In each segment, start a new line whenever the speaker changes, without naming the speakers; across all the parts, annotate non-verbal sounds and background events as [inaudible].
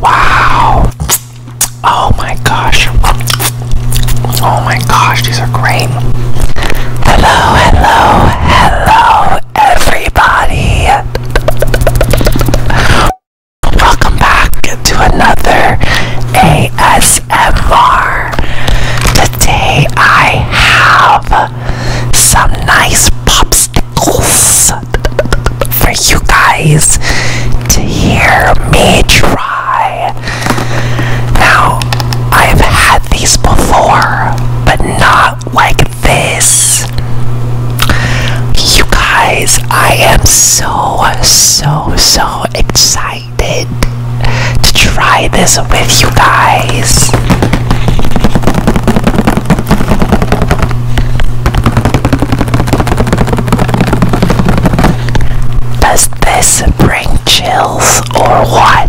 Wow! Oh my gosh! Oh my gosh, these are great! Hello, hello, hello, everybody! Welcome back to another ASMR. Today I have some nice popsicles for you guys to hear me try. Now, I've had these before, but not like this. You guys, I am so, so, so excited to try this with you guys. Does this bring chills or what?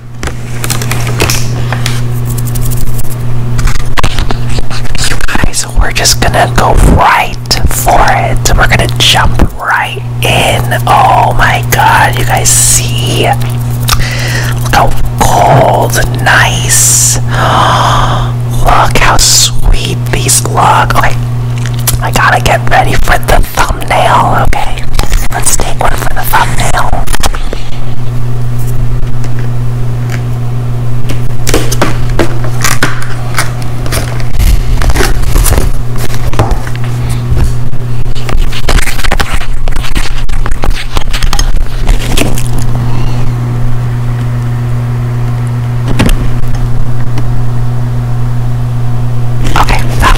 You guys, we're just gonna go right for it. We're gonna jump right in. Oh my god, you guys see? Look how cold, nice. [gasps] Look how sweet these look. Okay, I gotta get ready for the thumbnail. Okay, let's take one. Okay, that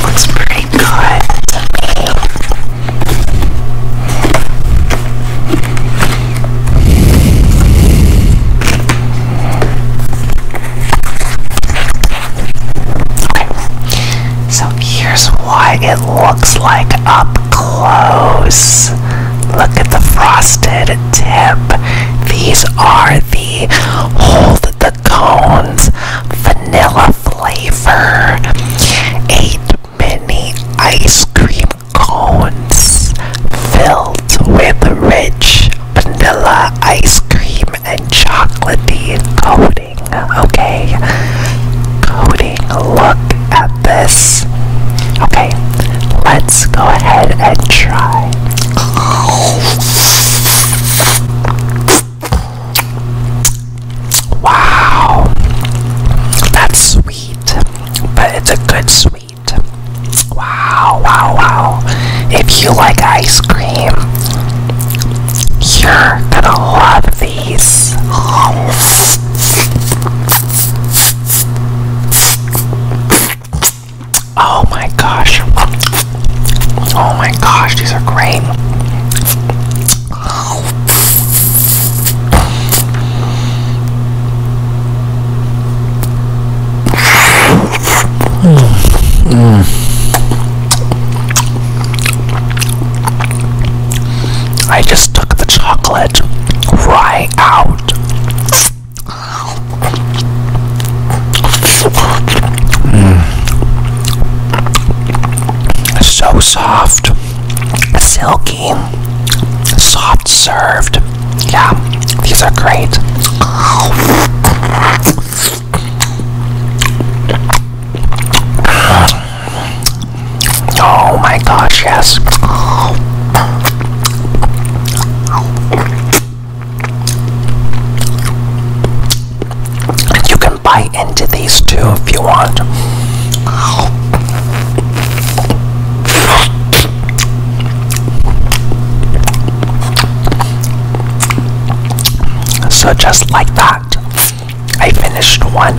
looks pretty good Okay. So here's why it looks like up close. Look at the frosted tip. These are the hold the cones vanilla flavor. Eight many ice cream cones filled with rich vanilla ice cream and chocolatey coating. Okay, coating. Look at this. Okay, let's go ahead and try. Wow, that's sweet, but it's a good sweet. Wow, wow, wow. If you like ice cream, you're gonna love these. Oh my gosh. Oh my gosh, these are great. Mm. I just took the chocolate right out. Mm. So soft silky, soft served. Yeah, these are great. Oh my gosh, yes. You can buy into these two if you want. So, just like that, I finished one.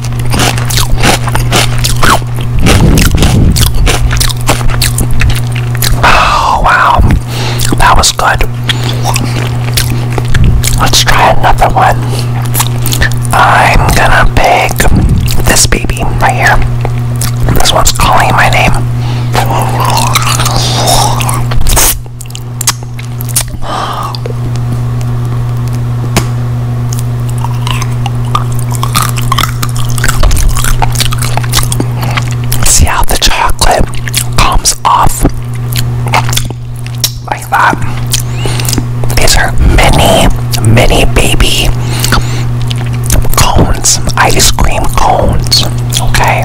Oh, wow. That was good. Let's try another one. I'm gonna pick this baby right here. This one's calling my name. See how the chocolate comes off like that. These are mini, mini baby cones, ice cream cones. Okay.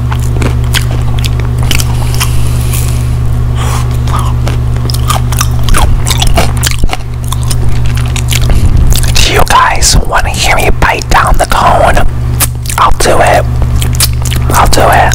Do you guys want to hear me bite down the cone? I'll do it. I'll do it.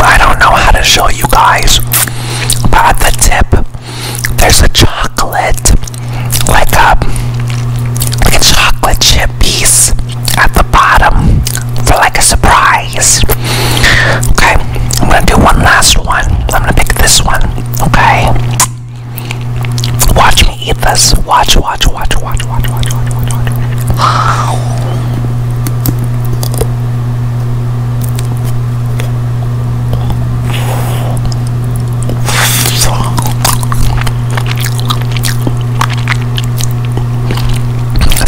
I don't know how to show you guys, but at the tip, there's a chocolate, like a, like a chocolate chip piece at the bottom for like a surprise. Okay, I'm gonna do one last one. I'm gonna pick this one, okay? Watch me eat this. Watch, watch, watch, watch watch, watch, watch,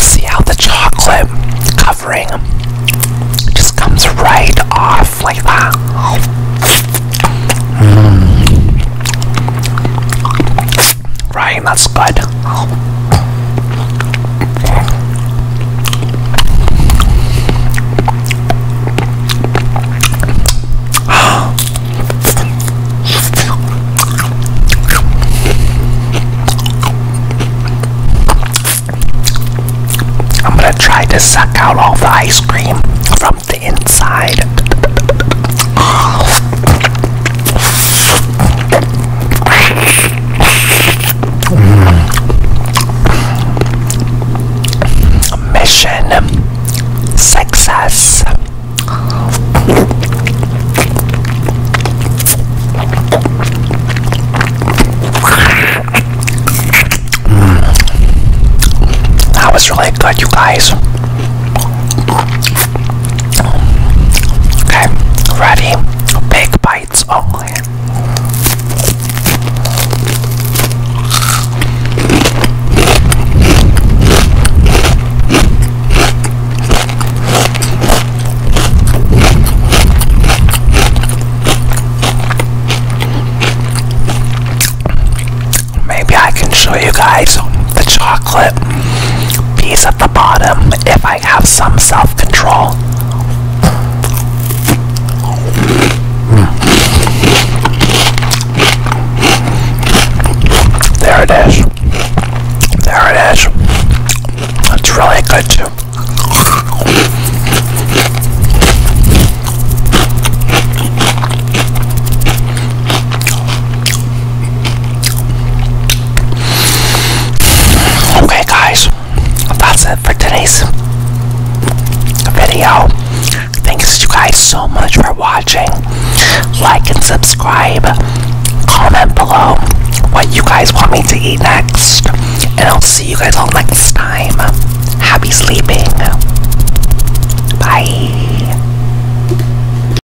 See how the chocolate covering just comes right off like that. Mm. Right, that's good. I'm gonna try to suck out all the ice cream from the inside. [gasps] [laughs] Mission success. That hmm. was really good, you guys. Okay, ready? Big bites only. Maybe I can show you guys the chocolate chocolate, peas at the bottom if I have some self control. Mm. There it is. There it is. It's really good too. Okay, guys, that's it for today's video. Thanks, you guys, so much for watching. Like and subscribe. Comment below what you guys want me to eat next. And I'll see you guys all next time. Happy sleeping. Bye.